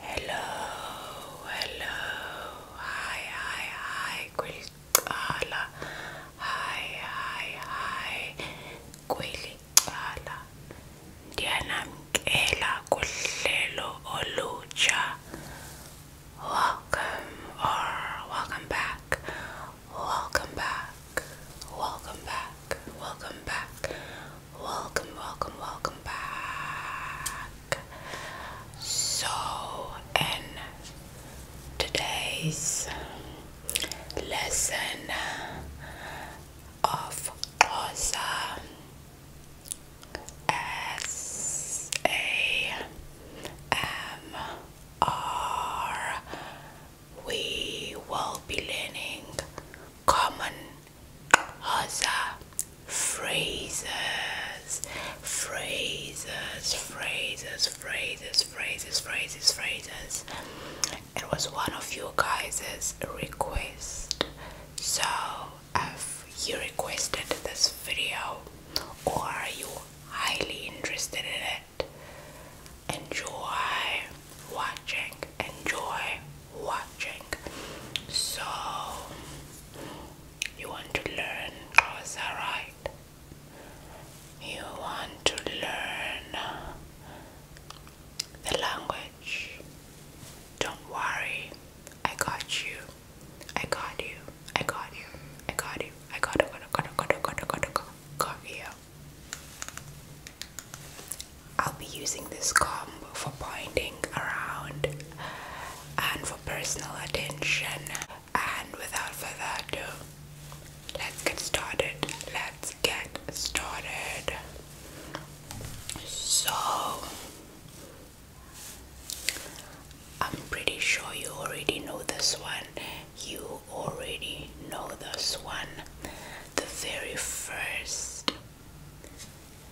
Hello, hello, hi, hi, hi, Gwilicala. Hi, hi, hi, Gwilicala. Ndiyanamkela kuhlelo olutsha. Welcome or welcome back. Welcome back. Welcome back. Welcome back welcome, welcome, welcome back. So, in today's lesson of Xhosa S A M R, we will be learning common Rosa. Phrases. Phrases. Phrases. Phrases. Phrases. Phrases. Phrases. It was one of you guys' request. So if you requested this video or you highly interested in it enjoy watching, enjoy watching. So, you want to learn, is that right? You want to learn the language. Don't worry, I got you. I got you. I got you. I got you. I got you. I got you. I got you. I got you. I got you. I got you. I got you. I'll be using this comb for pointing around and for personal attention. And without further ado, let's get started. Let's get started. So, I'm pretty sure you already know this one. You already know this one. The very first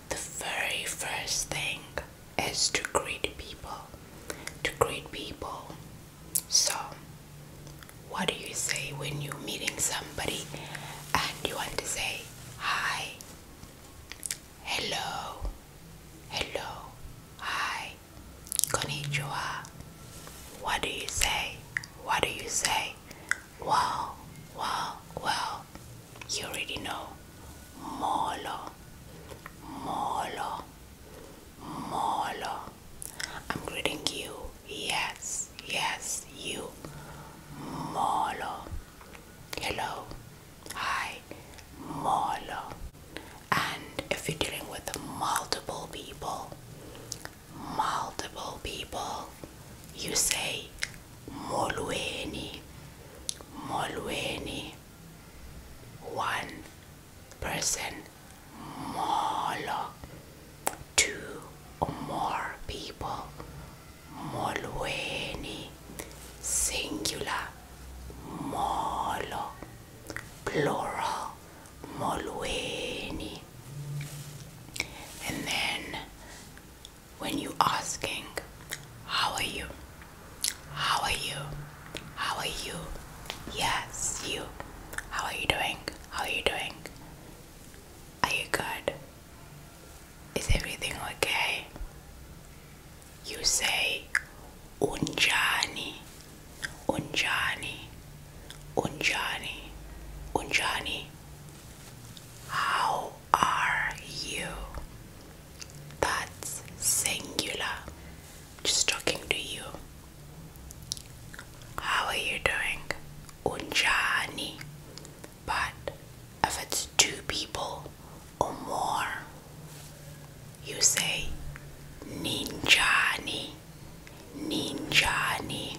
the very first thing is to greet people. To greet people. So, what do you say when you're meeting somebody and you want to say hi? Hello. Hello. Hi. Konnichiwa. What do you say? What do you say? Wow, wow, wow. You already know. Molo, molo, molo. I'm greeting you. Yes, yes, you. Molo. Hello. Hi. Molo. And if you're dealing with multiple people, multiple people, you say Molweni, Molweni. One person, Molo. Two or more people, Molweni. Singular, Molo. Plural, Molweni. And then when you asking how are you how are you how are you yes you how are you doing how are you doing are you good is everything okay you say unjani unjani unjani unjani how are you? That's singular. Just talking to you. How are you doing? Unjani. But if it's two people or more, you say ninjani. Ninjani.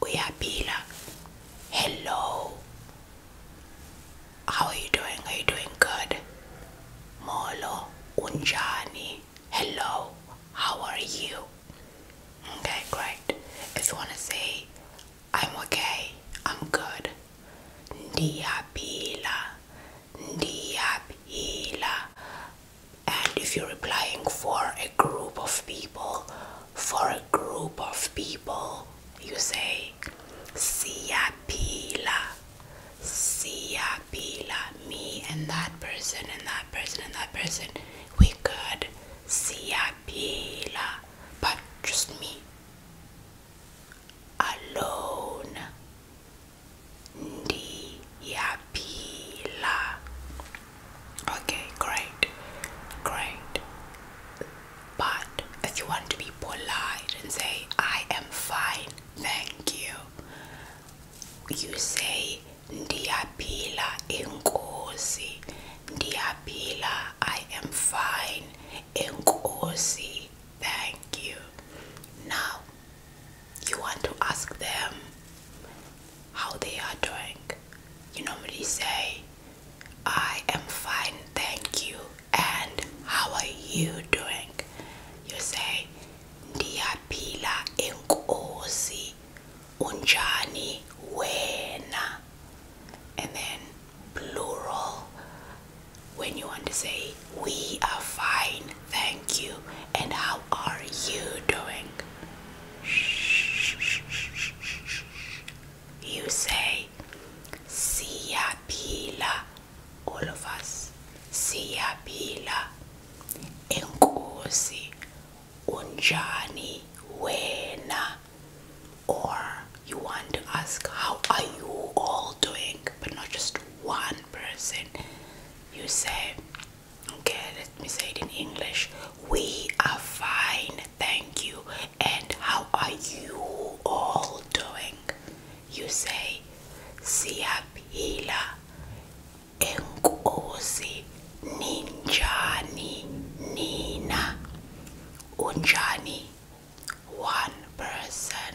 uyapila hello how are you doing are you doing good molo unjani hello how are you okay great if you want to say i'm okay i'm good ndiyapila ndiyapila and if you're applying for a group of people for a group of people you say sia pila sia pila me and that person and that person and that person we could sia pila but just me alone Ndi Okay, great, great. But if you want to be polite and say, I am fine, thank you, you say, Ndiapila inkosi, Ndiapila, I am fine, inkosi, thank you. Now, you want to ask them, how they are doing. You normally say, I am fine, thank you, and how are you doing? You say, Ndiapila inkosi unjani wena. And then plural, when you want to say, we are fine, thank you, and how are you doing? You say Sia pila, all of us. Sia pila, enkosi, unjani, wena. Or you want to ask, how are you all doing? But not just one person. You say Okay, let me say it in English. We are fine, thank you. And how are you all doing? You say siyaphila enkosi ninjani nina unjani one person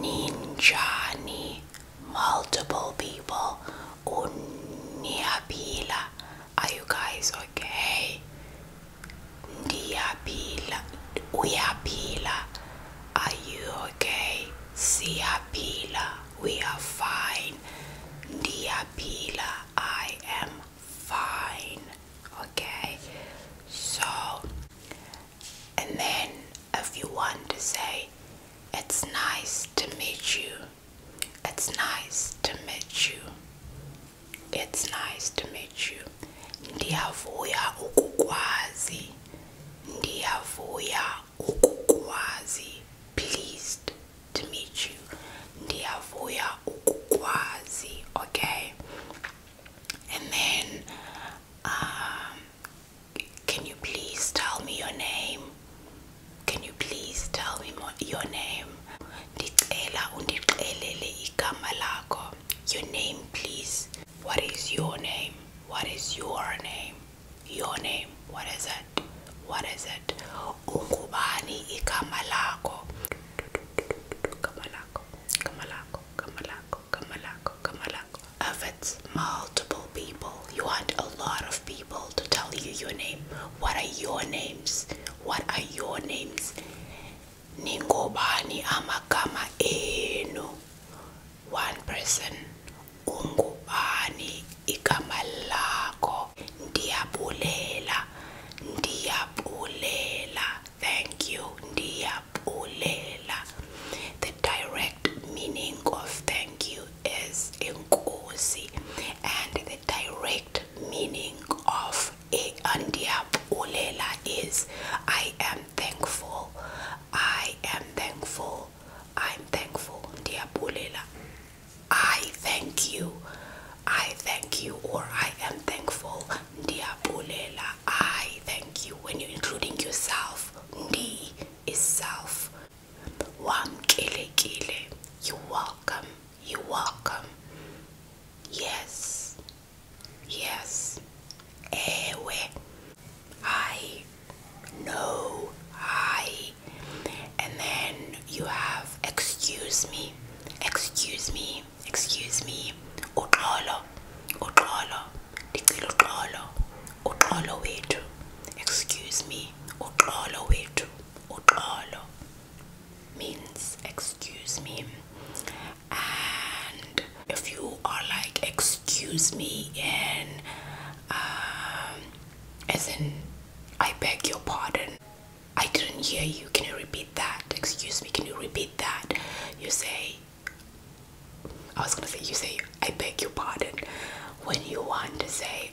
ninja ninjani multiple people unniaphila are you guys okay? Diapila, Uyapila, are you okay? Siapila, we are fine. Diapila, I am fine. Okay, so and then if you want to say it's nice to meet you it's nice to meet you. It's nice to meet you. Ndiyavuya ukukwazi. Ndiyavuya ukukwazi. Pleased to meet you. Ndiyavuya ukukwazi. Okay. And then, um, can you please tell me your name? Can you please tell me your name? Ndicela undixelele igama lakho. Your name, please. What is your name? What is your name? Your name. What is it? What is it? Ungubani igama lakho. Igama lakho. Igama lakho. If it's multiple people, you want a lot of people to tell you your name what are your names what are your names ningobani amagama enu one person ungubani igama lakho ndiyabulela ndiyabulela thank you ndiyabulela the direct meaning of thank you is inkosi and the direct meaning of Ulela is I am thankful, I am thankful, I'm thankful, Ndiabulela. I thank you, I thank you, or I am thankful, Ndiabulela. I thank you. When you're including yourself, Ndi is self, Wamkelekile. You're welcome. You're welcome. Yes. Yes. Ewe. Hi. No. Hi. And then you have excuse me. Excuse me. Excuse me. Uxolo. Uxolo. Dicilo uxolo. Uxolo wethu. Excuse me. Uxolo wethu uqolo means excuse me and if you are like excuse me in um, as in I beg your pardon I didn't hear you can you repeat that excuse me can you repeat that you say I was gonna say you say I beg your pardon when you want to say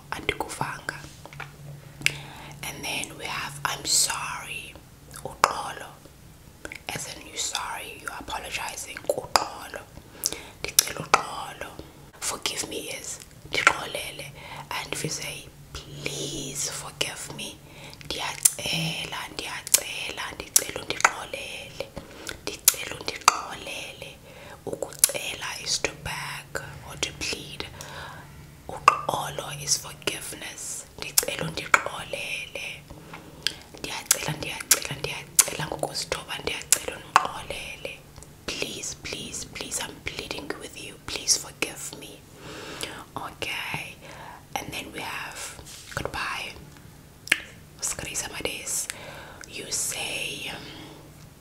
andikuvanga and then we have i'm sorry uqolo as in you sorry you are apologizing uqolo ndicela uqolo forgive me is ndiqolele and if you say please forgive me ndiyacela ndiyacela ndicela undiqolele ndicela undiqolele ukucela is to beg or to plead uqolo is forgiveness ndicela undiqolele ndiyacela ndiyacela ndiyacela ngokuzithoba ndiyacela undiqolele please please please i'm pleading with you please forgive me okay and then we have goodbye you say um,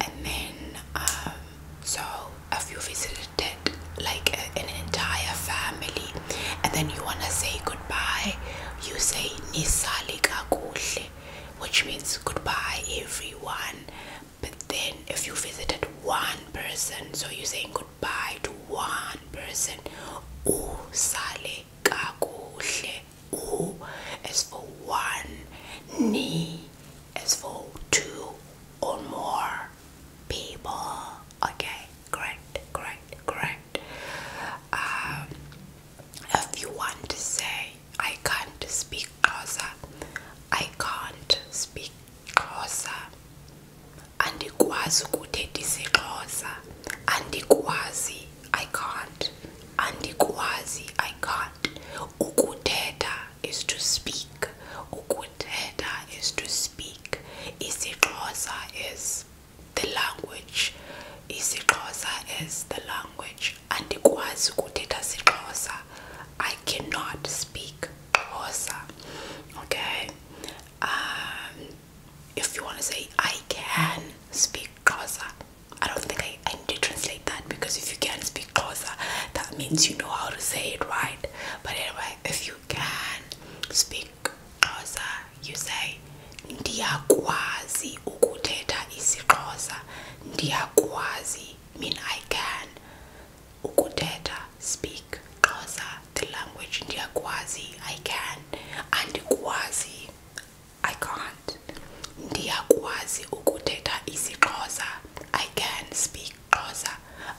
and then um, so if you visited like uh, an entire family and then you want to say goodbye you say nisali kakudle which means goodbye everyone but then if you visited one person so you're saying goodbye to one person usale kakudle u is for one ni is for two or more people. Okay, great, great, great. Um, if you want to say, I can't speak Hausa, I can't speak Hausa, andikwazi ukuthethisa isiXhosa, andikwazi, I can't, andikwazi, I can't, ukuthetha is to speak. Ukuteta is to speak. Isi Isixhosa is the language. Isi Isixhosa is the language. Andikwazi ukuthetha siXhosa. I cannot speak Xhosa. Okay? Um, if you want to say I can speak Xhosa. I don't think I okay i need to translate that because if you can speak xhosa that means you know how to say it right but anyway if you can speak xhosa you say ndiyakwazi ukuthetha isiXhosa ndiyakwazi mean i can ukuthetha speak xhosa the language ndiyakwazi i can and andikwazi i can't ndiyakwazi ukuthetha isiXhosa I can speak Kosa,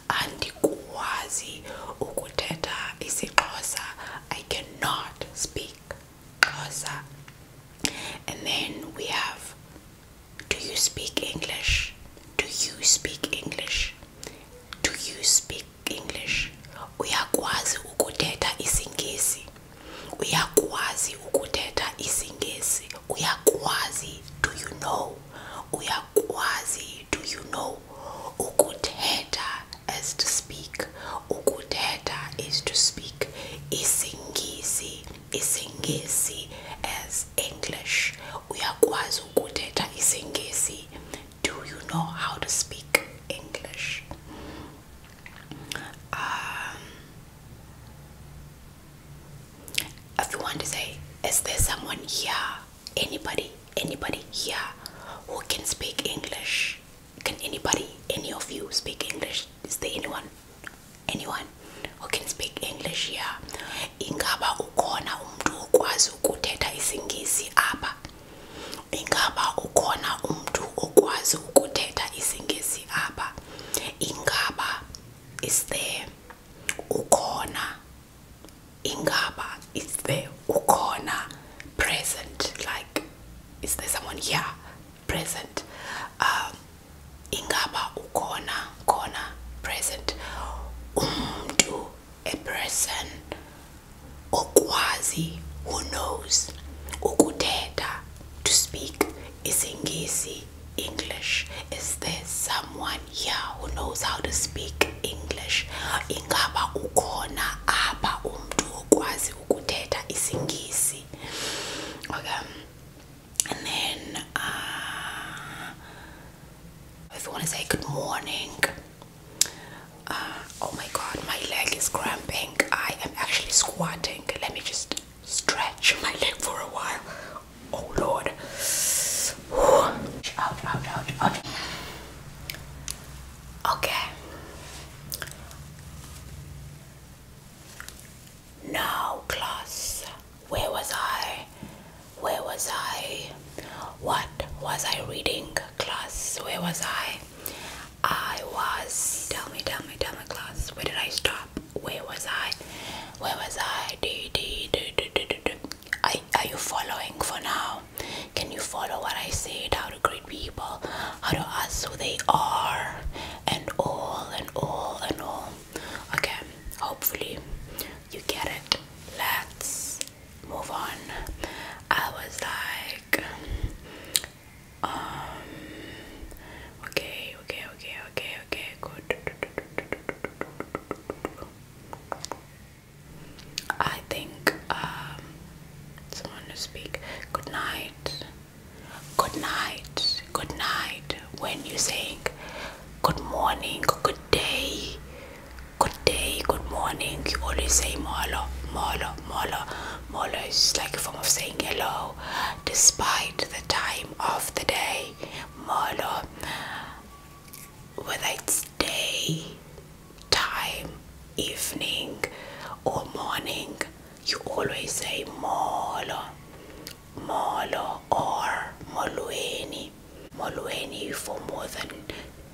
and Xhosa andikwazi ukuthetha Kosa. I cannot speak Kosa. and then we have do you speak English do you speak English do you speak English We are uyakwazi ukuTeta isiNgesi uyakwazi ukuthetha isiNgesi uyakwazi do you know We are quasi. do you know ukuthetha is to speak ukuthetha is to speak isingisi isingisi as english We are uyakwazi ukuthetha isingisi do you know how to speak english um, if you want to say is there someone here anybody anybody here who can speak english can anybody any of you speak english is there anyone anyone who can speak english here ingaba ukhona umntu okwazi ukuthetha isingisi apha ingaba ukhona umntu okwazi ukuthetha isingesi apha ingaba is there ukhona ingaba is there ukhona present like is there someone here present um ingaba ukhona khona present to a person okwazi who knows ukuthetha to speak isiNgisi English is there someone here who knows how to speak English ingaba ukhona apha umuntu okwazi ukuthetha isiNgisi okay and then uh, want to say good morning uh, oh my god my leg is cramping I am actually squatting let me just stretch my leg for a while. Oh Lord. Out, out, out, out. Okay. Now, class, where was I? Where was I? What was I reading, class? Where was I? I was. Tell me, tell me, tell me, class. Where did I stop? Where was I? Where was I? Are, are you following for now? Can you follow what I said? How to greet people, how to ask who they are, and all and all and all. Okay, hopefully you get it. Let's move on. I was like, um, okay, okay, okay, okay, okay, good. I think um, someone to speak. Good night. Good night. Good night. When you saying good morning, good day, good day, good morning, you always say molo, molo, molo, molo is like a form of saying hello despite the time of the day. Molo whether it's day, time, evening, or morning, you always say Molo, Molo, or Molueni, Molueni for more than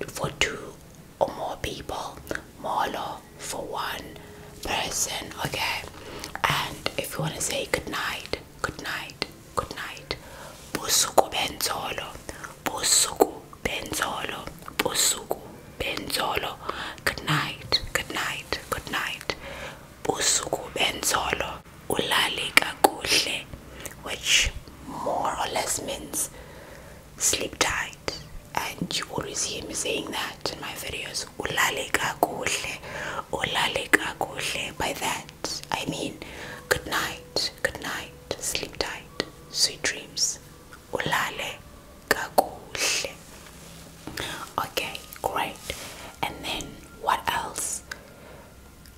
for two or more people, Molo for one person. Okay, and if you want to say good night, good night, good night. Busuku benzolo, busuku benzolo, busuku benzolo. Good night, good night, good night. Busuku benzolo, ulali kakuhle, which more or less means sleep tight. And you always hear me saying that in my videos means ulale kakuhle, ulale kakuhle. By that, I mean good night, good night, sleep tight, sweet dreams. Ulale kakuhle. Okay, great. And then what else?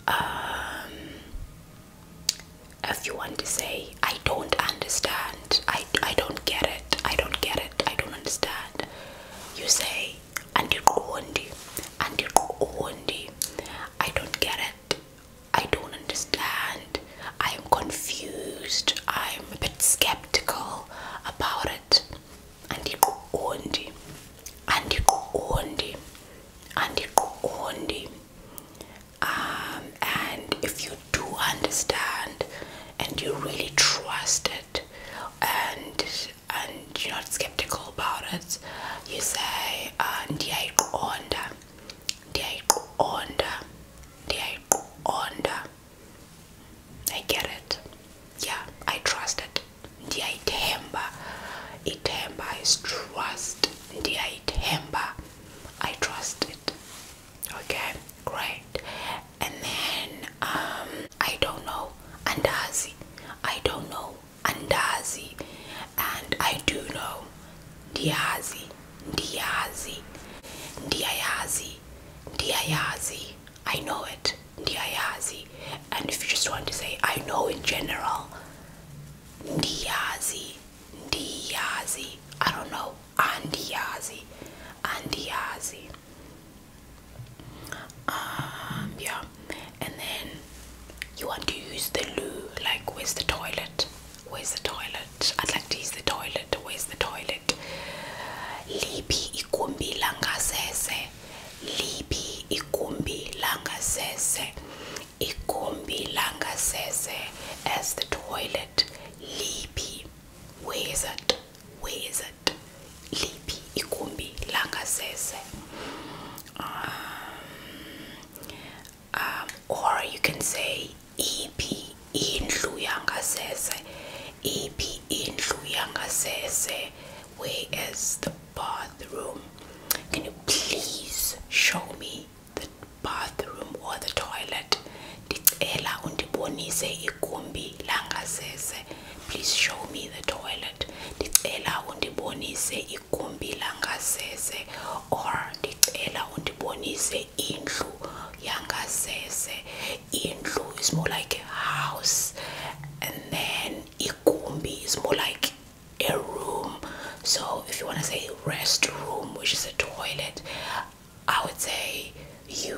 Um, if you want to say, I don't understand, I, I don't get it, I don't get it, I don't understand, you say, andikuondi andikuondi i don't get it i don't understand i am confused i'm a bit skeptical about it andikuondi andikuondi andikuondi um and if you do understand and you really trust it and and you're not skeptical about it, you say ndiyayiqonda, uh, ndiyayiqonda, ndiyayiqonda. I get it. Yeah, I trust it. Ndiyaithemba. Ithemba is trust. Ndiyaithemba. I trust it. Okay, great. And then um I don't know andazi I don't know andazi and I do know diazi diazi diayazi diayazi I know it diayazi and if you just want to say I know in general diazi diazi I don't know andiazi andiazi um, yeah, and then you want to use the loo. Like, where's the toilet? Where's the toilet? I'd like to use the toilet. Where's the toilet? Lipi ikumbi langasese. Lipi ikumbi langasese. Ikumbi langasese as the toilet. Lipi. Where's it? Where's it? it liphi igumbi langasese um, um, or you can say iphi indlu yangasese iphi indlu yangasese where is the bathroom can you please show me the bathroom or the toilet ndicela undibonise igumbi langasese please show me the toilet ndicela undibonise igumbi langasese or ndicela undibonise indlu yangasese indlu is more like a house and then igumbi is more like a room so if you want to say restroom which is a toilet i would say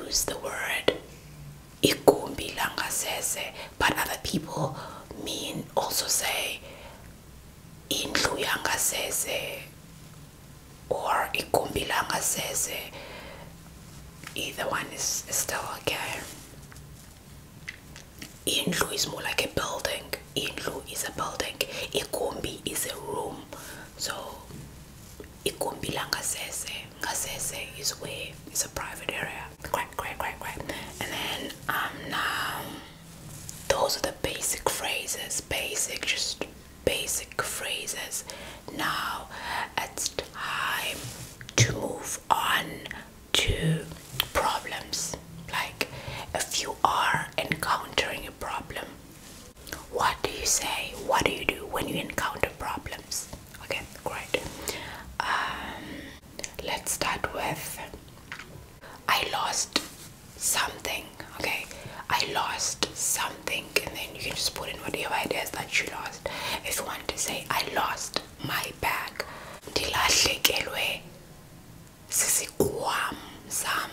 use the word it could igumbi langasese but other people mean also say indlu yangasese or igumbi langasese either one is, still okay Inlu is more like a building Inlu is a building It igumbi is a room so it could igumbi langasese because this is way it's a private area. Quack quack quack quack. And then um now those are the basic phrases, basic just basic phrases. Now it's time to move on to problems. Like if you are encountering a problem, what do you say? What do you do when you encounter problems? Okay, great. Um, Let's start with I lost something. Okay, I lost something, and then you can just put in whatever it is that you lost. If you want to say, I lost my bag, ndilahlekelwe sisikwam sam.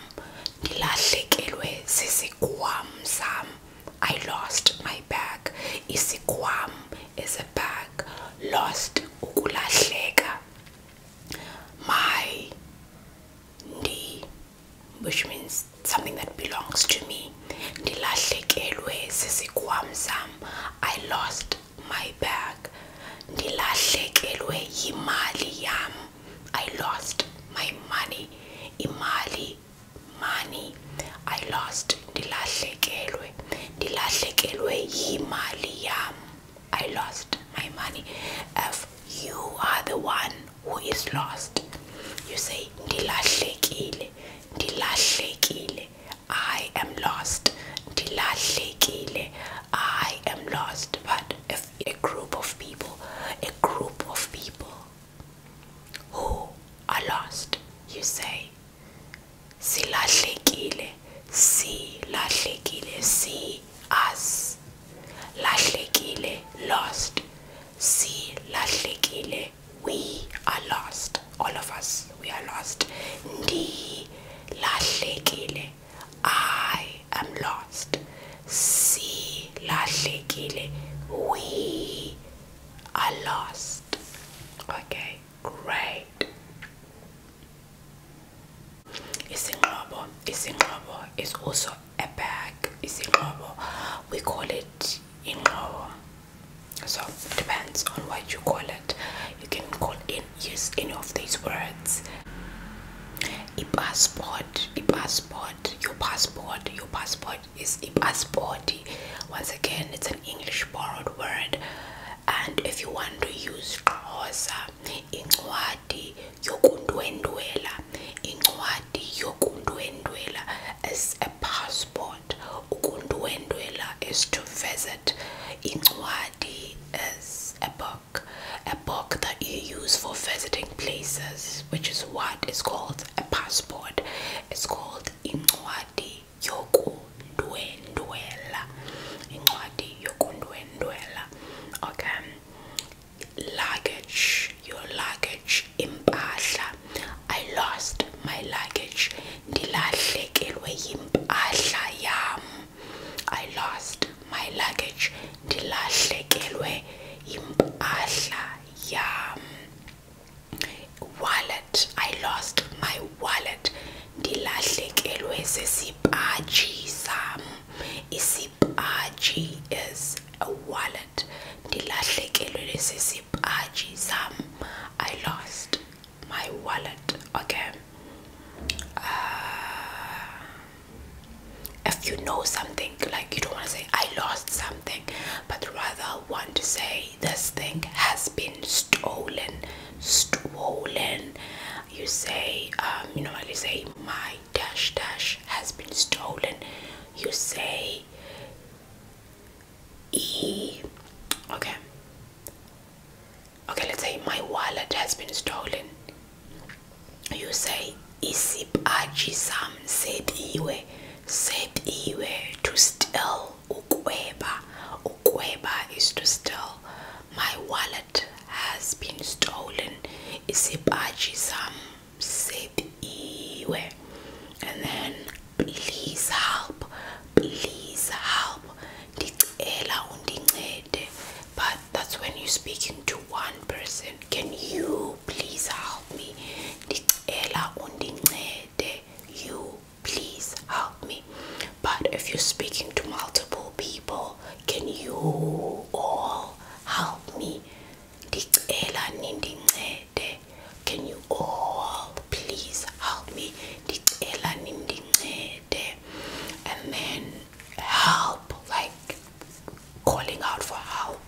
Ndilahlekelwe sisikwam sam. I lost my bag. Isikwam is a bag lost ukulahleka my ndi which means something that belongs to me The last leg ndilahlekelwe sisikwam sam i lost my bag The last ndilahlekelwe yimali yam i lost my money imali money I lost the The last ndilahlekelwe ndilahlekelwe yimali yam I lost my money if you are the one who is lost you say the The last last ndilahlekile ndilahlekile I am lost The last ndilahlekile I am lost but if a group of people a group of people who are lost you say silahlekile silahlekile see us lahlekile lost silahlekile we are lost all of us we are lost ndi lahlekile i am lost silahlekile we are lost okay Great. Isinqobo, isinqobo is also a bag. Isinqobo, we call it inqobo. So it depends on what you call it. You can call in use any of these words. A passport, a passport, your passport, your passport is a passport once again it's an english borrowed word and if you want to use xhosa incwadi yokundwendwela incwadi yokundwendwela is a passport ukundwendwela is to visit incwadi is a book a book that you use for visiting places which is what is called a passport it's called incwadi yokundwendwela incwadi yokundwendwela okay luggage your luggage in impahla i lost my luggage in yimpahla yam i lost my luggage in yimpahla yam wallet i lost my wallet The last ndilahlekelwe sesipaji sam isipaji is a wallet ndilahlekelwe sesipaji sam i lost my wallet okay uh, if you know something like you don't want to say i lost something but rather want to say this thing has been stolen. Stolen. You say, you um, you normally say, my dash dash has been stolen. You say, e. Okay. Okay, let's say my wallet has been stolen. You say isip aji sam set iwe set iwe to steal ukweba ukweba is to steal my wallet has been stolen isipaji sam sebiwe and then please help please help ndicela undincede but that's when you're speaking to one person can you please help me ndicela undincede you please help me but if you're speaking to multiple people can you all help me can you all please help me and then help like calling out for help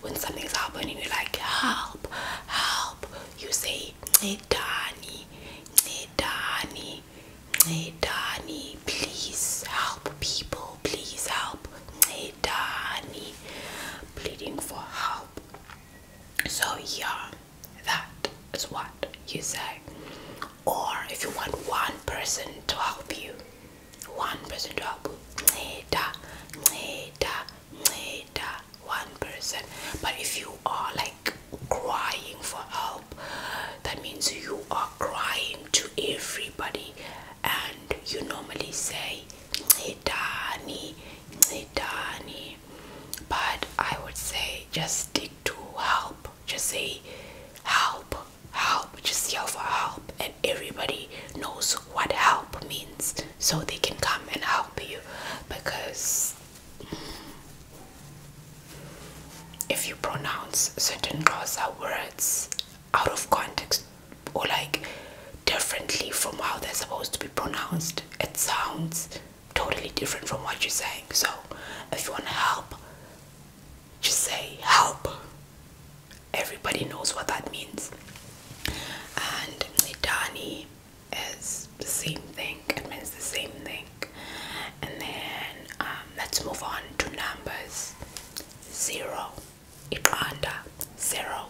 when something's happening you're like help help you say Dani Nedani, Nedani, please help people, please help, Nedani, pleading for help. So, yeah, that is what you say. Or if you want one person to help you, one person to help you, Neda, Neda, Neda, one person. But if you are like crying for help that means you are crying to everybody and you normally say Nidani, Nidani. but i would say just stick to help just say help help just yell for help and everybody knows what help means so they can come and help you because if you pronounce certain Xhosa words out of context or like differently from how they're supposed to be pronounced, it sounds totally different from what you're saying. So, if you want to help, just say help. Everybody knows what that means. And Nidani is the same thing, it means the same thing. And then um, let's move on to numbers zero, iqanda, zero,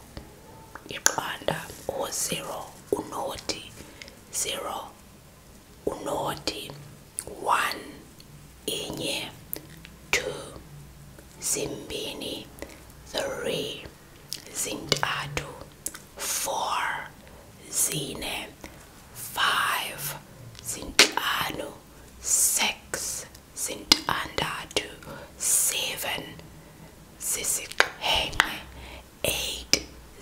iqanda, or zero, unoti, zero, unoti, one, inye, two, zimbini, three, zintathu four zine five zintlanu six zintandathu seven zisixhenxe eight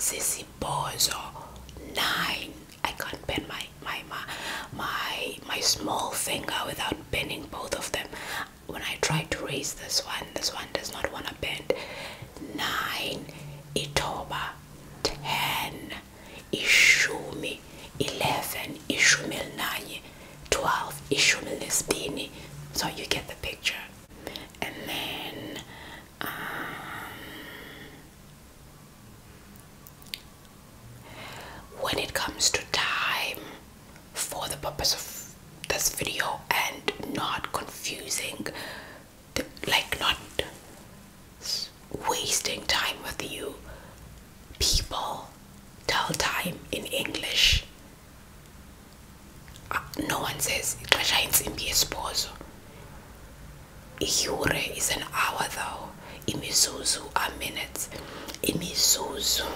zisibhozo nine I can't bend my my my my my small finger without bending both of them when I try to raise this one this one does not want to bend nine ithoba ten ishumi eleven ishumi elinanye twelve ishumi lesbini so you get the picture and then um, when it comes to time for the purpose of this video and not confusing like not wasting time with you. People tell time in English. Uh, no one says ixesha intsimbi yesibhozo. Iyure is an hour though. Imizuzu are minutes. Imizuzu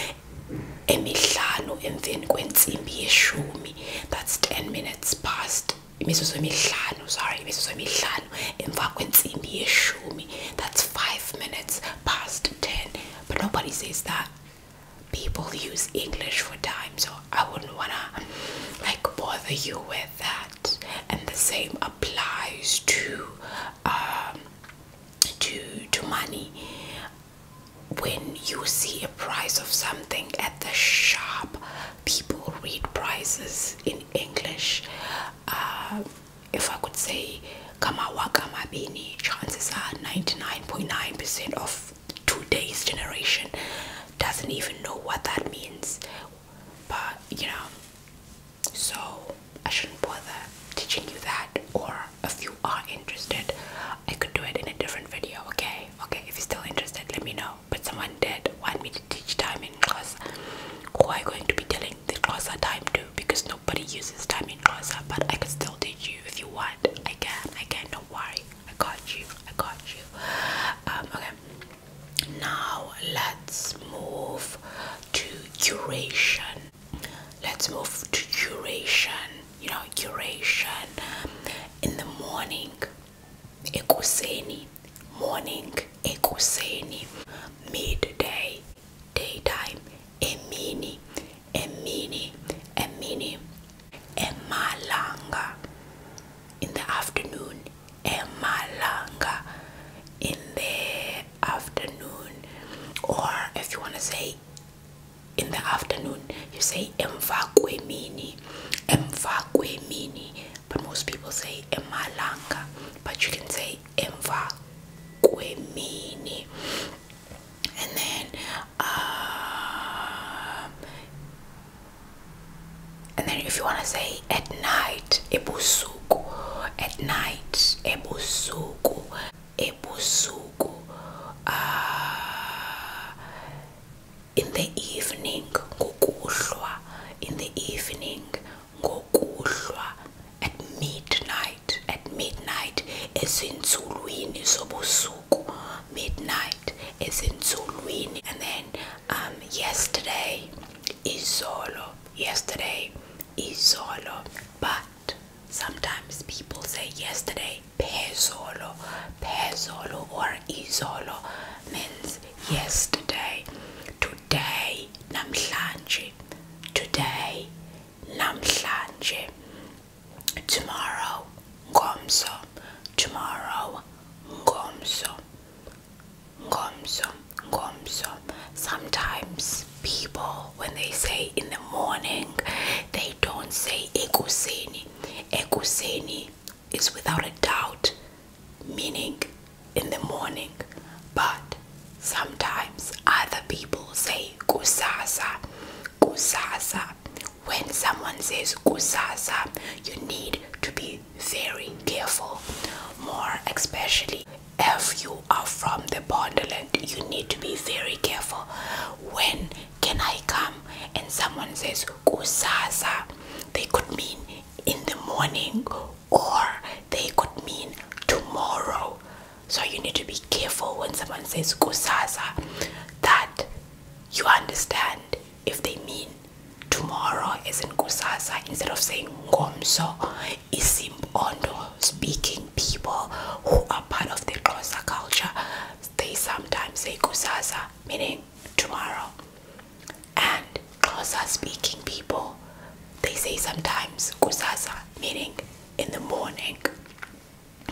emihlanu emveni kwentsimbi yeshumi that's 10 minutes past Missus emihlanu sorry Missus In emihlanu emva kwentsimbi me. that's 5 minutes past 10 but nobody says that people use english for time so i wouldn't want to like bother you with that and the same applies to um, to to money when you see a price of something at the shop, people read prices in English. Uh, if I could say kamawa kamabini, chances are 99.9% percent of today's generation doesn't even know what that means. But you know, so I shouldn't bother teaching you that. Or if you are interested, I could do it in a different video, okay? okay if you're still interested let me know but someone did want me to teach time in class who i going to be telling the class are time to because nobody uses time in class but i can still teach you if you want i can i can don't worry i got you i got you um, okay now let's move to curation. let's move to curation you know, curation in the morning, ekuseni, morning, ekuseni, midday, daytime, emini, emini, emini, emalanga, in the afternoon, emalanga, in the afternoon, or if you want to say in the afternoon you say emva kwemini emva kwemini but most people say emalanga but you can say emva kwemini and then um, and then if you want to say at night ebusuku at night ebusuku ebusuku uh, in the evening ngokuhlwa in the evening ngokuhlwa at midnight at midnight ezinzulwini zobusuku midnight ezinzulwini and then um yesterday izolo yesterday izolo but sometimes people say yesterday Pezolo, pezolo or izolo means yesterday, today, namhlanje, today, namhlanje, tomorrow, ngomso, tomorrow, ngomso, ngomso, ngomso. Sometimes people, when they say in the morning, they don't say ekuseni. Ekuseni is without a doubt meaning in the morning, but sometimes other people say "gusasa, gusasa." When someone says "gusasa," you need to be very careful, more especially if you are from the borderland. You need to be very careful. When can I come? And someone says Kusaza. They could mean in the morning or they could mean tomorrow. So you need to be careful when someone says kusaza that you understand if they mean tomorrow is in kusasa instead of saying ngomso isimpondo speaking people who are part of the Xhosa culture they sometimes say kusasa meaning tomorrow. And Xhosa speaking people, they say sometimes kusasa, meaning in the morning.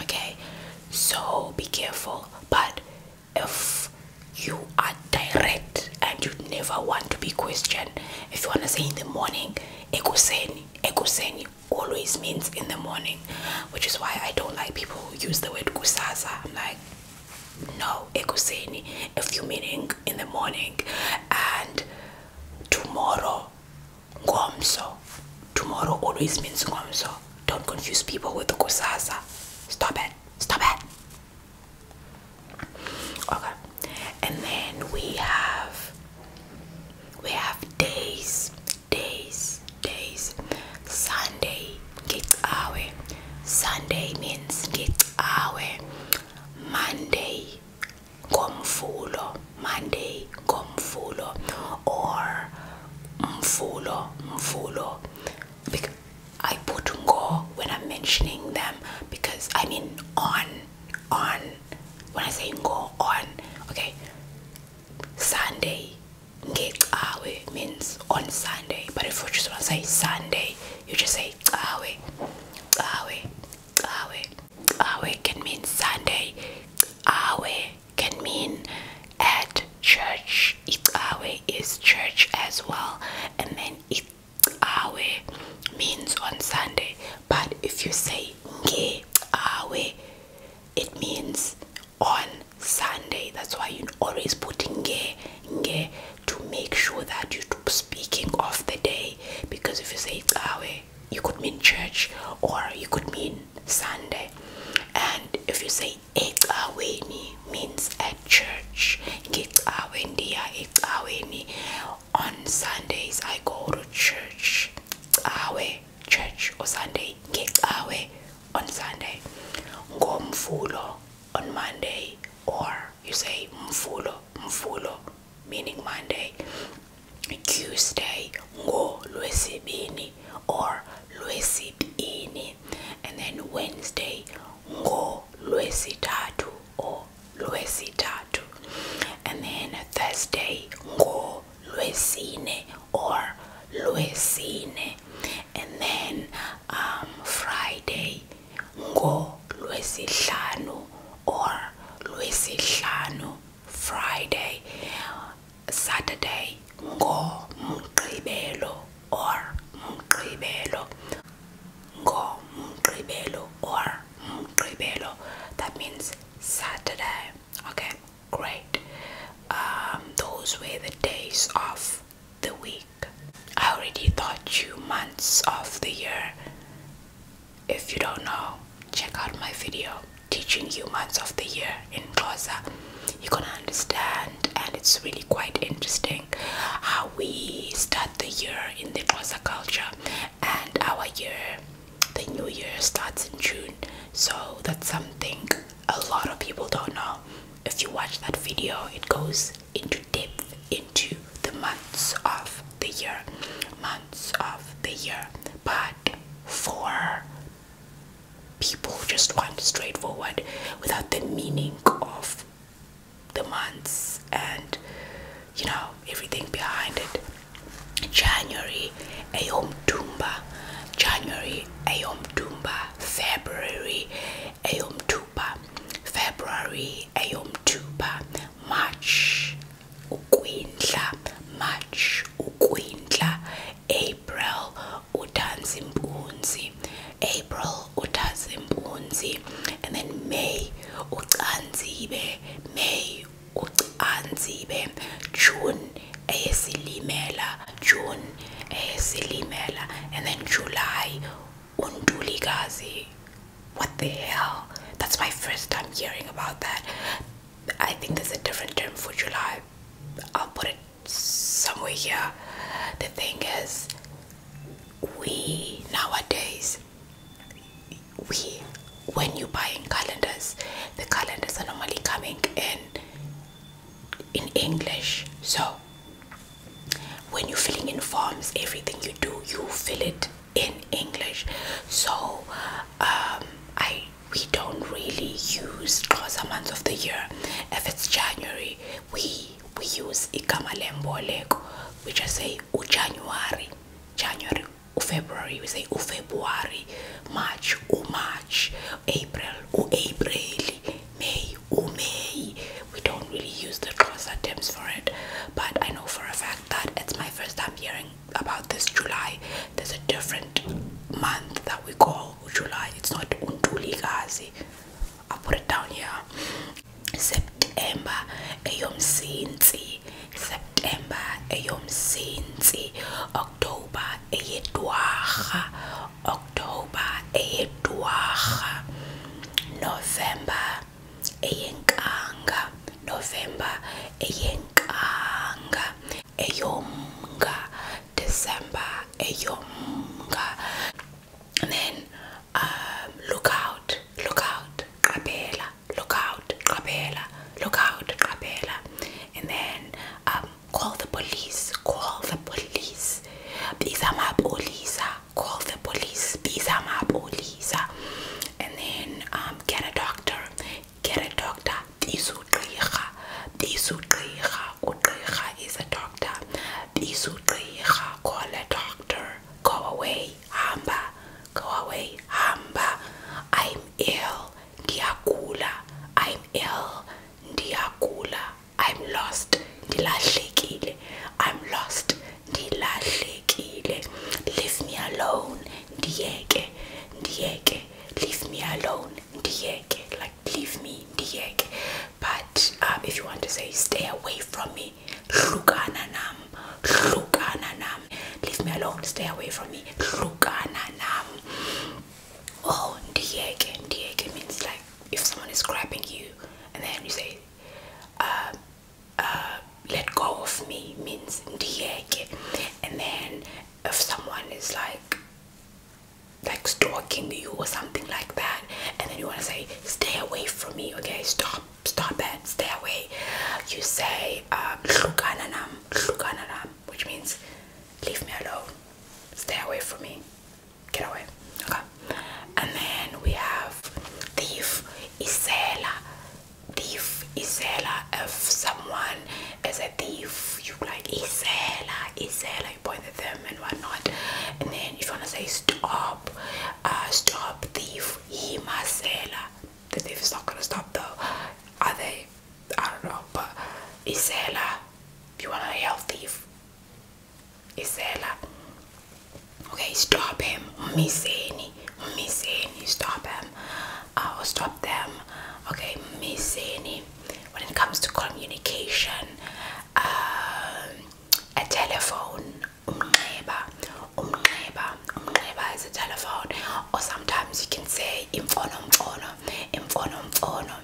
Okay, so be careful. But if you are direct and you never want to be questioned, if you want to say in the morning, ekuseni, ekuseni always means in the morning which is why I don't like people who use the word kusasa. I'm like, no, ekuseni, a few meaning in the morning, and tomorrow, ngomso. Tomorrow always means ngomso. Don't confuse people with the kusasa. Stop it. Stop it. Okay, and then we have we have days days days sunday get away sunday means get away monday gomfulo monday gomfulo or mfulo mfulo because i put go when i'm mentioning them because i mean on on when i say go on okay sunday Ngecawe means on Sunday, but if you just want to say Sunday, you just say cawe. Cawe, cawe, cawe can mean Sunday. Cawe can mean at church. Icawe is church as well, and then it icawe means on Sunday. But if you say ngecawe, it means on Sunday. That's why you always put nge nge to make sure that you're speaking of the day. Because if you say Awe, you could mean church or you could mean Sunday. And if you say Ekaweni means at church, Ngekawendia Ekaweni. On Sundays I go to church. Awe church or Sunday. Ngekawe on Sunday, mfulo. on Monday, or you say Mfulo, Mfulo, meaning Monday. Tuesday, Ngo Luesibini or Luesibini, and then Wednesday, Ngo Luesitatu or Luesitatu, and then Thursday, Ngo Luesine or Luesine. Monday and then um Friday ngo lwesihlanu or lwesihlanu Friday Saturday go mgqibelo or mgqibelo go mgqibelo or mgqibelo that means Saturday okay great. Um, those were the days of the week. I already taught you months of the year. If you don't know, check out my video teaching you months of the year in Glossa. You're gonna understand, and it's really quite interesting how we start the year in the Glossa culture. And our year, the new year starts in June, so that's something a lot of people don't know if you watch that video it goes into depth into the months of the year months of the year but for people who just want straightforward without the meaning of the months and you know everything behind it January Ayom Tumba January Ayom Tumba February ayomthupa February ayomthupa March ukwindla March ukwindla April utanzimpunzi April utazimpunzi and then May ucanzibe May ucanzibe June eyeSilimela June eyeSilimela and then July uNtulikazi what the hell that's my first time hearing about that I think there's a different term for July I'll put it somewhere here the thing is we nowadays we when you buy buying calendars the calendars are normally coming in in English. So when you fill in forms, everything you do, you fill it in English. So um, I we don't really use Xhosa months of the year. If it's January, we we use igama lemboleko. We just say uJanuary, January, February, We say February, March, March, April, uApril may, umei. We don't really use the Xhosa terms for it, but I know for a fact that it's my first time hearing about this July. There's a different month that we call July. It's not Untuligazi. i put it down here. September, Eyomsinsi. September, Eyomsinsi. October, Eyedwaha. October eyedwarha November eyenkanga November eyenkanga eyomnga December eyomnga and then um, look out look out qabela look out qabela look out qabela and then um, Call the police. Call the police. These are my police. Call the police. These are my police. And then um, get a doctor. Get a doctor. These is a doctor. These call a doctor. Go away. Hamba. Go away. Hamba. I'm ill. Diakula. I'm ill. Diakula. I'm lost la ndilahlekile I'm lost la ndilahlekile leave me alone ndiyeke ndiyeke leave me alone ndiyeke like leave me ndiyeke but um, if you want to say stay away from me hlukana nam hlukana nam leave me alone stay away from me hlukana nam oh ndiyeke ndiyeke means like if someone is grabbing you and then you say uh, uh, let go of me means and then if someone is like like stalking you or something like that and then you want to say stay away from me okay stop stop it stay away you say um, nam, nam," which means leave me alone stay away from me get away. Okay. And then we have thief, isela. Thief, isela. If someone is a thief, you like isela, isela. You point at them and whatnot. And then if you wanna say stop, uh, stop thief, himasela. The thief is not gonna stop though. Are they? I don't know. But isela, you wanna help thief, Isela. Okay, stop him. Miseni. Miseni. Stop him. Uh, or stop them. Okay, miseni. When it comes to communication, um, a telephone, umneba, umneba, umneba is a telephone, or sometimes you can say imfono mfono, imfono mfono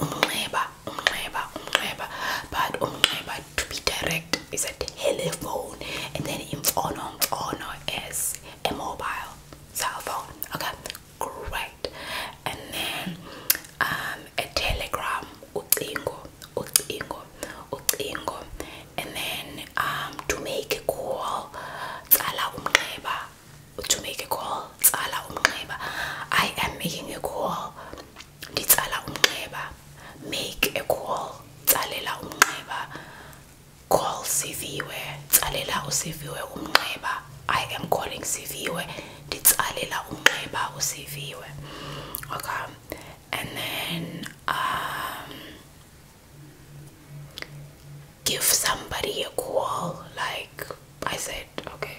umnxeba umnxeba umnxeba but umnxeba to be direct is a telephone and then in imfono phone is a mobile cell okay great and then um, a telegram ucingo ucingo ucingo and then um, to make a call tsala umnxeba to make a call tsala umnxeba i am making a call nditsala umnxeba make a call tsalela umnxeba call siviwe tsalela usiviwe umnxeba i am calling siviwe nditsalela umnxeba usiviwe okay and then um give somebody a call like i said okay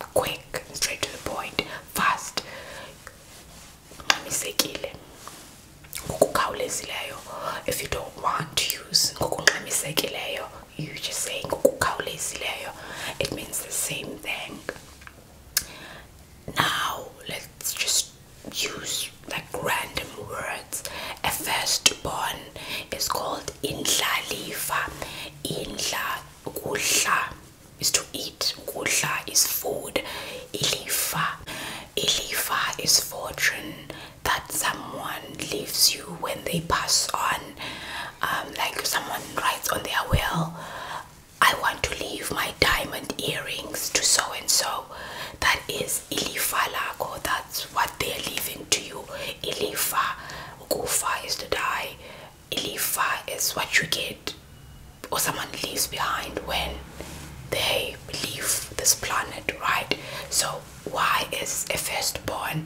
quick, straight to the point, fast. Ngqamisekile. Ngokukhawulezileyo. If you don't want to use ngokungqamisekileyo, you just say ngokukhawulezileyo. It means the same thing. Now, let's just use like random words. A firstborn is called indlalifa indla ukudla is to eat ukudla is food ilifa ilifa is fortune that someone leaves you when they pass on um, like someone writes on their will i want to leave my diamond earrings to so and so that is ilifa lako that that's what they're leaving to you. Ilifa, Kufa is to die. Ilifa is what you get or someone leaves behind when they leave this planet, right? So why is a firstborn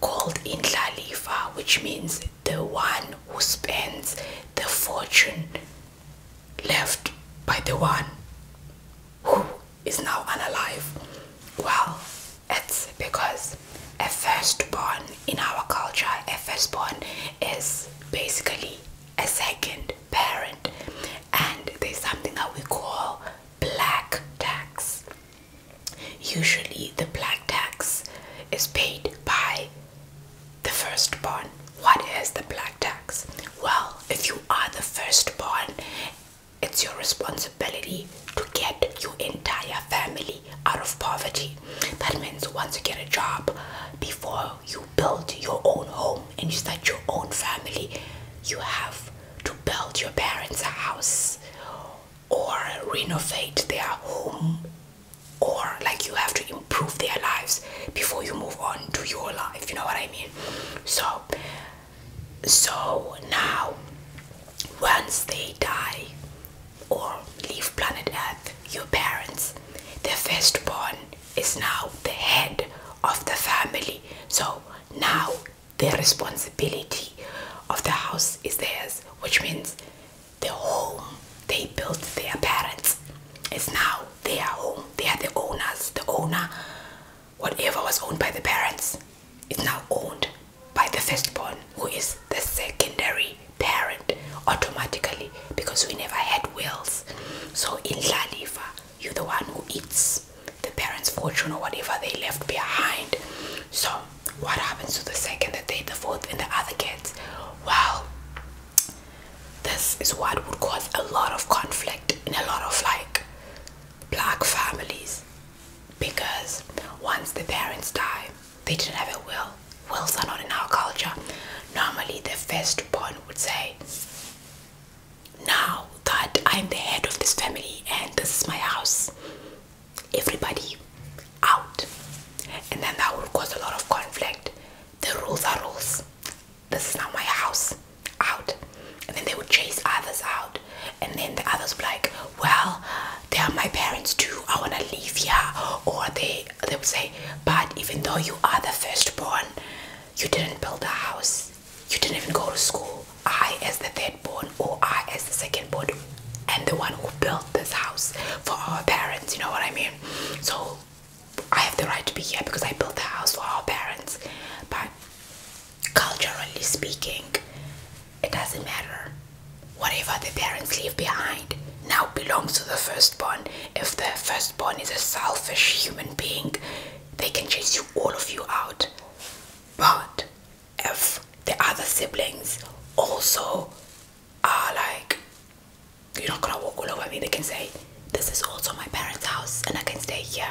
called Indlalifa, which means the one who spends the fortune left by the one who is now unalive? Well, it's because a firstborn in our culture, a firstborn is basically a second parent, and there's something that we call black tax. Usually, the black tax is paid by the firstborn. What is the black tax? Well, if you are the firstborn it's your responsibility to get your entire family out of poverty. That means once you get a job, before you build your own home and you start your own family, you have to build your parents' house or renovate their home or like you have to improve their lives before you move on to your life you know what i mean so so now, once they die or leave planet Earth, your parents, the firstborn is now the head of the family. So now the responsibility of the house is theirs, which means the home they built their parents is now their home. They are the owners. The owner whatever was owned by the parents is now owned by the firstborn, who is the secondary parent automatically because we never had wills. So in La Lalifa, you're the one who eats the parents' fortune or whatever they left behind. So what happens to the second, the third, the fourth, and the other kids? Well, this is what would cause a lot of conflict in a lot of like black families because once the parents die, they didn't have a will. Wills are not in our culture. Normally, the firstborn would say, Now that I'm the head of this family and this is my house, everybody out. And then that would cause a lot of conflict. The rules are rules. This is not my house. Out. And then they would chase others out and then the others were like well they are my parents too i want to live here or they they would say but even though you are the firstborn you didn't build a house you didn't even go to school i as the third born or i as the second born and the one who built this house for our parents you know what i mean so i have the right to be here because i built the house for our parents but culturally speaking, it doesn't matter. Whatever the parents leave behind now belongs to the firstborn. If the firstborn is a selfish human being, they can chase you all of you out. But if the other siblings also are like, you're not gonna walk all over me, they can say, This is also my parents' house and I can stay here.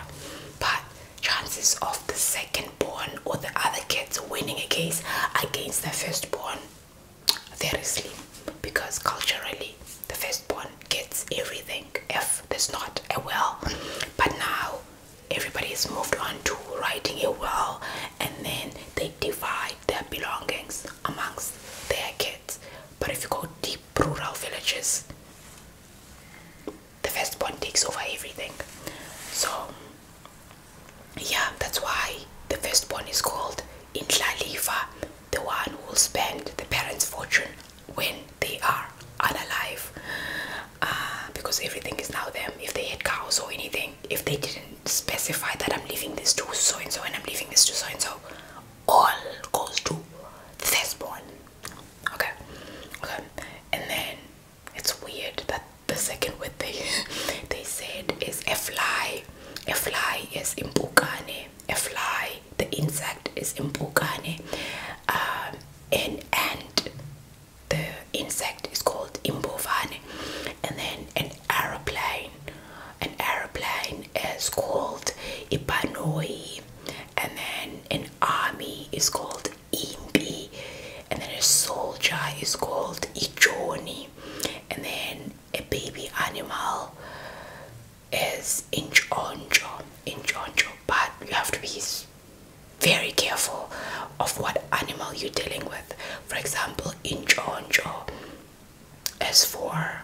But chances of the second born or the other kids winning a case against the first born, very slim because culturally the first born gets everything if there's not a will but now everybody has moved on to writing a will and then they divide their belongings amongst their kids but if you go deep rural villages the firstborn takes over everything. So, yeah, that's why the firstborn is called Intlalifa, the one who will spend the parents' fortune when they are unalive. Uh, because everything is now them. If they had cows or anything, if they didn't specify that I'm leaving this to so and so and I'm leaving this to so and so, all goes to the firstborn. Okay, okay, and then it's weird that the second word they they said is a fly. A fly is impukane. A fly, the insect is impukane. Um, and the insect is called imbovane. And then an aeroplane, an aeroplane is called ipanoi. And then an army is called Imbi, and then a soldier is called Ijoni, and then a baby animal is Inchonjo. Inchonjo, but you have to be very careful of what animal you're dealing with. For example, Inchonjo As for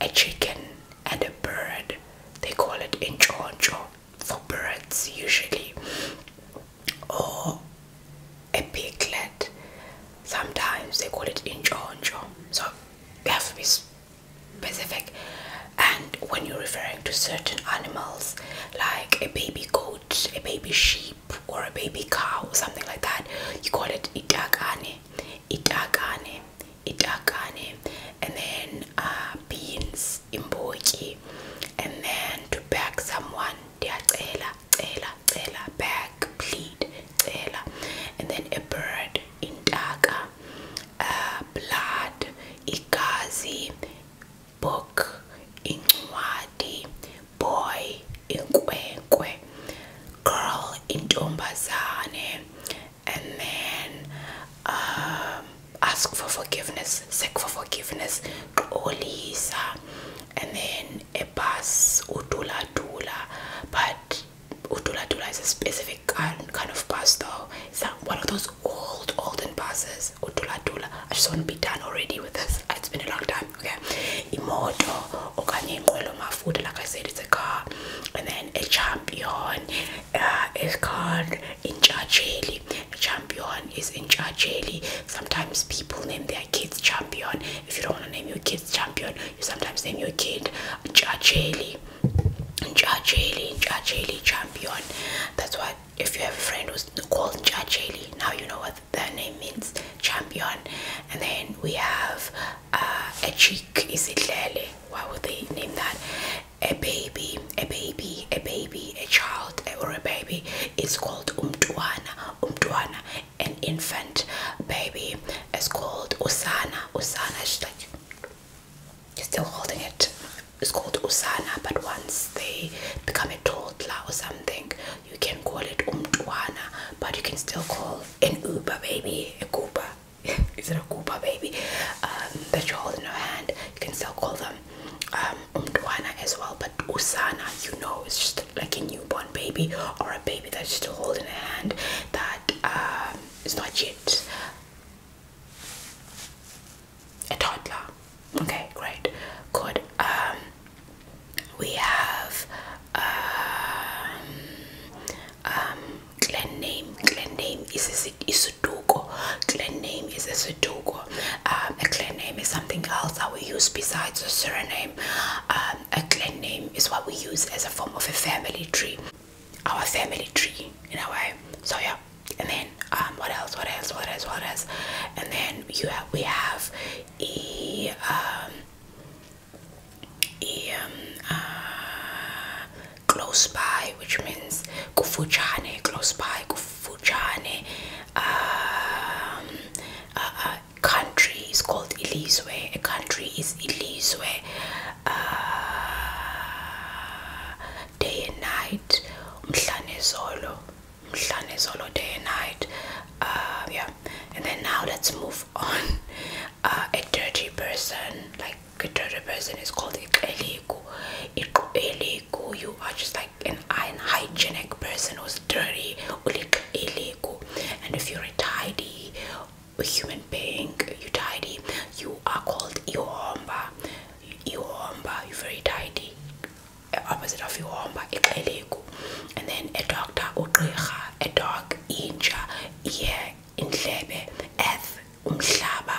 a chicken and a bird. They call it Inchonjo for birds usually, or a piglet. Sometimes they call it injonjo, so you have to be specific. And when you're referring to certain animals, like a baby goat, a baby sheep, or a baby cow, or something like that, you call it itagane, itagane, itagane, and then uh, beans, imboki, and then to beg someone ndiyacela cela cela beg plead cela and then a bird intaka uh, blood igazi book incwadi boy inkwenkwe girl intombazane and then um, ask for forgiveness, seek for forgiveness, Olisa, and then a bus, utula Dula, but utula Dula is a specific kind, kind of bus though. It's like one of those old, olden buses, Utula Dula. I just want to be done already with this. It's been a long time, okay? Imoto, Okanye Mafuta, like I said, it's a car, and then a champion uh, is called Injajeli Champion is in Jeli. Sometimes people name their kids Champion. If you don't want to name your kids Champion, you sometimes name your kid Jeli. Jeli, Jeli, Champion. That's why if you have a friend who's called Jeli, now you know what their name means, Champion. And then we have a uh, cheek is it Lele. Why would they name that? a baby, a baby, a baby, a child, or a baby is called umtuana, umtuana, an infant baby is called usana, usana. She's like still holding it. It's called usana, but once they become a toddler or something, you can call it umtuana, but you can still call an uber baby a goober. Is it a Koopa baby um, that you hold in your hand? You can still call them um, Umdwana as well, but Usana, you know, it's just like a newborn baby or a baby that's still holding a hand that um, is not yet a toddler. Okay, great, good. Um, we have um, um, Glen name. Glen name is Sudoku. Clan name is a Sudoku. Um, a clan name is something else that we use besides a surname. Um, a clan name is what we use as a form of a family tree. Our family tree, in a way. So yeah. And then um, what else? What else? What else? What else? And then you have we have e um, uh, close by, which means kufuchane, close by, Fujane um, country is called Ilizwe. A country is Ilizwe. Uh, day and night. Mhlane Zolo. Mhlane Zolo day and night. Uh, yeah. And then now let's move on. Uh, a dirty person, like a dirty person is called Eliku. Eliku, you are just like an unhygienic person who's dirty and if you're a tidy human being you tidy you are called iwomba iwomba you're very tidy opposite of iwomba and then a doctor a dog inja yeah in umhlaba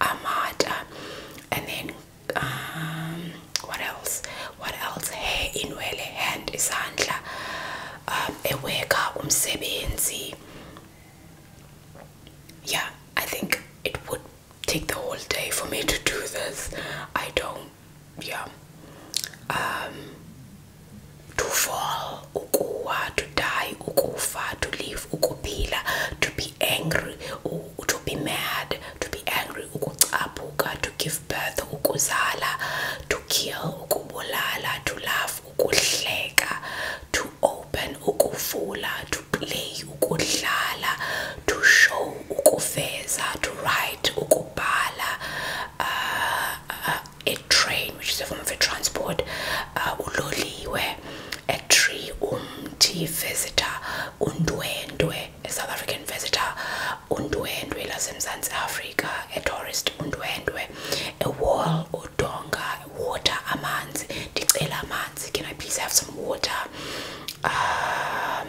amata and then um, what else what else hair inwele hand isandla um eweka umsebenzi yeah i think it would take the whole day for me to do this i don't yeah um to ukuwa to die ukufa to live ukupila to be angry to be mad to be angry ukucaphuka to give birth ukuzala to kill ukubulala to laugh ukuhleka to open ukuvula to play ukudlala to show ukuveza to write ukubhala uh, uh, a train which is a form of transport uh, uloliwe etree umthi visitor Undwe undwendwe a South African visitor Undwe undwendwe lasemzantsi Africa. a tourist Undwe undwendwe a wall A udonga water amanzi ndicela amanzi can I please have some water um,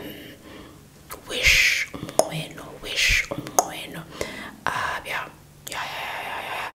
wish umnqweno wish umnqweno uh, yeah yeah yeah yeah yeah